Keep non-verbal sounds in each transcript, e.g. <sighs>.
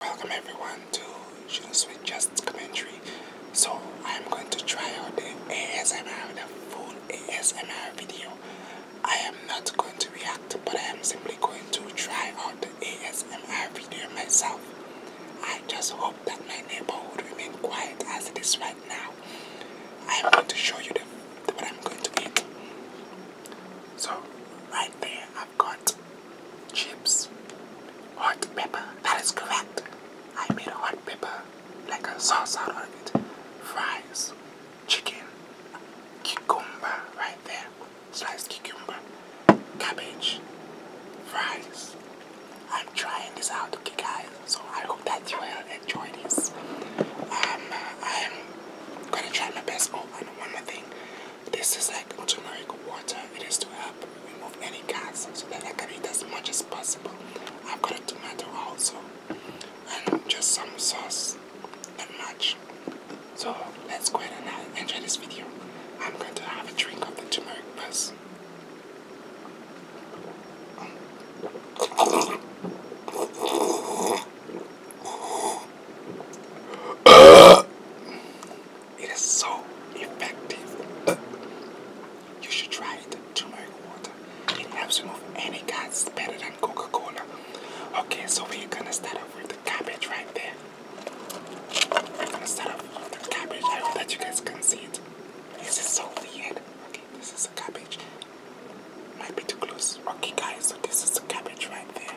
Welcome everyone to Just Commentary. So I'm going to try out the ASMR, the full ASMR video. I am not going to react, but I am simply going to try out the ASMR video myself. I just hope that my neighbour would remain quiet as it is right now. I am going to show you the, what I'm going to eat. So right there, I've got chips, hot pepper. That is correct. I made a hot pepper, like a sauce out of it. Fries, chicken, cucumber right there, Slice cucumber, cabbage, fries. I'm trying this out, okay, guys. So I hope that you will enjoy this. Um, I'm gonna try my best. Oh, and one more thing. This is like turmeric water. It is to help remove any calcium so that I can eat as much as possible. I've got a tomato also and just some sauce, not much. So let's go ahead and enjoy this video. I'm going to have a drink of the turmeric buzz it is so effective. You should try it, turmeric water. It helps remove any cuts better than Coca-Cola. Okay, so we're gonna start off with the cabbage right there. I'm gonna start off with the cabbage. I hope that you guys can see it. This is so weird. Okay, this is a cabbage. Might be too close. Okay guys, so this is the cabbage right there.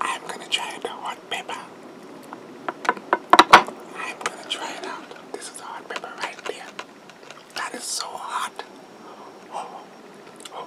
I'm gonna try the hot pepper. I'm gonna try it out. This is the hot pepper right there. That is so hot. Oh, oh,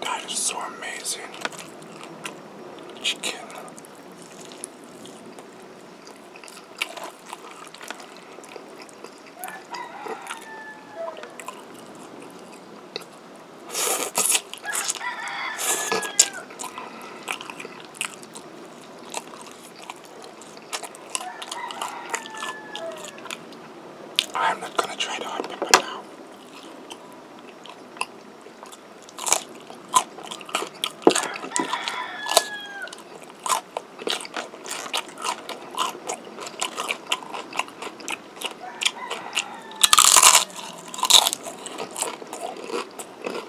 That is so amazing. Chicken. I'm not gonna try the hot pepper now.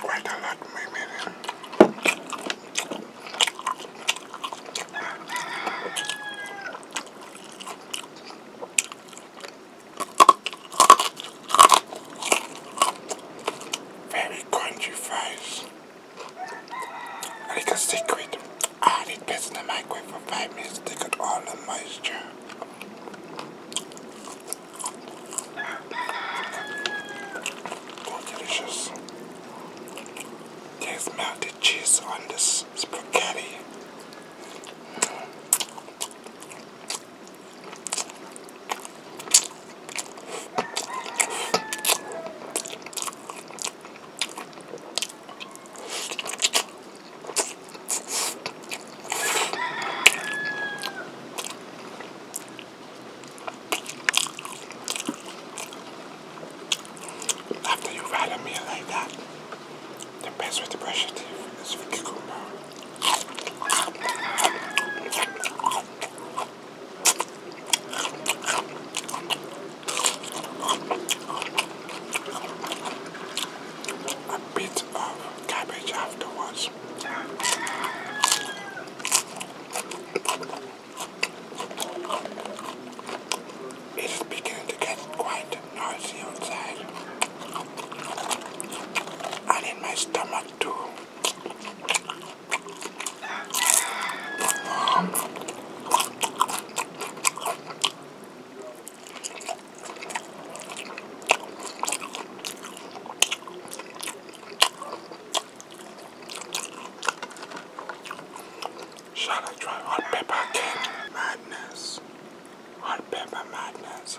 quite a lot maybe then. Very crunchy fries. They can stick with I need place in the microwave for five minutes to take all the moisture. Oh, delicious. There's melted cheese on this spaghetti. After you ride a meal like that, the best way to brush your teeth is with cucumber. A bit of cabbage afterwards. It is beginning to get quite noisy outside. And in my stomach too. Shall I try hot pepper king madness? Hot pepper madness.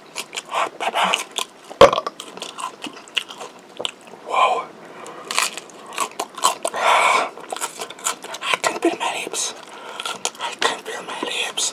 Whoa. I can feel my lips. I can feel my lips.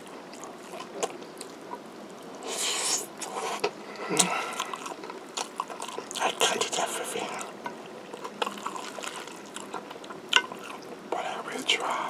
I can't eat everything. But I will try.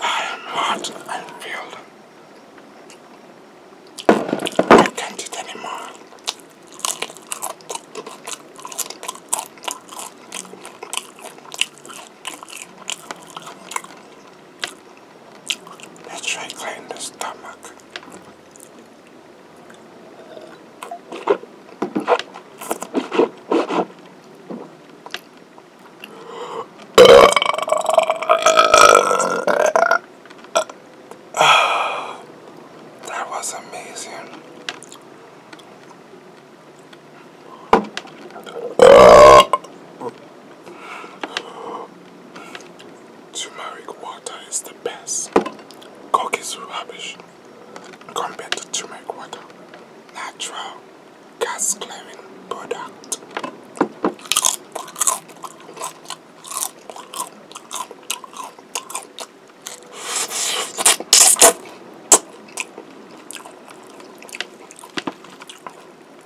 I am hot and filled. I can't eat anymore. Let's try clean the stomach. <sighs> that was amazing. Turmeric water is the best. Coke is rubbish compared to turmeric water. Natural gas cleaning product.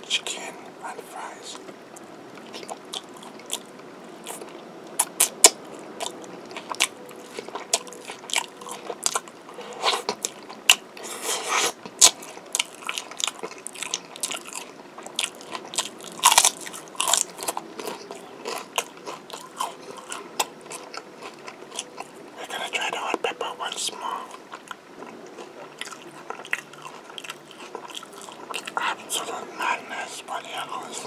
Chicken and fries. We're gonna try the hot pepper once more. Absolute madness for the others.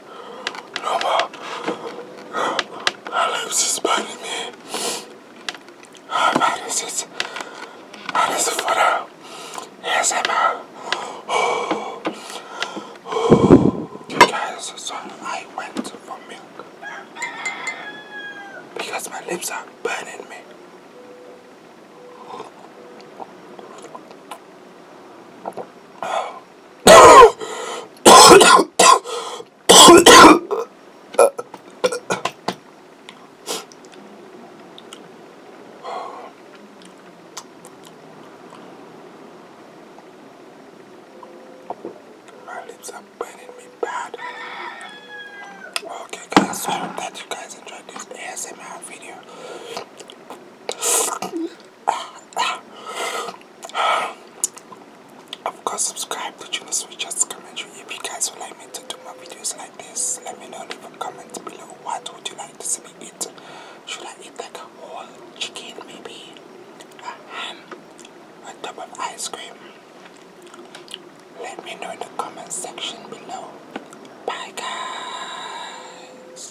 no, I live suspended me. I've had this, it's, this for now. Yes, I'm out. Oh, You guys, so I went for milk. Because my lips are burning me. Oh. My lips are burning me bad. Okay guys, I hope that you guys enjoyed this ASMR video of course subscribe to Juno Switch just comment if you guys would like me to do more videos like this let me know leave a comment below what would you like to see me eat should I eat like a whole chicken maybe a ham on top of ice cream let me know in the comment section below bye guys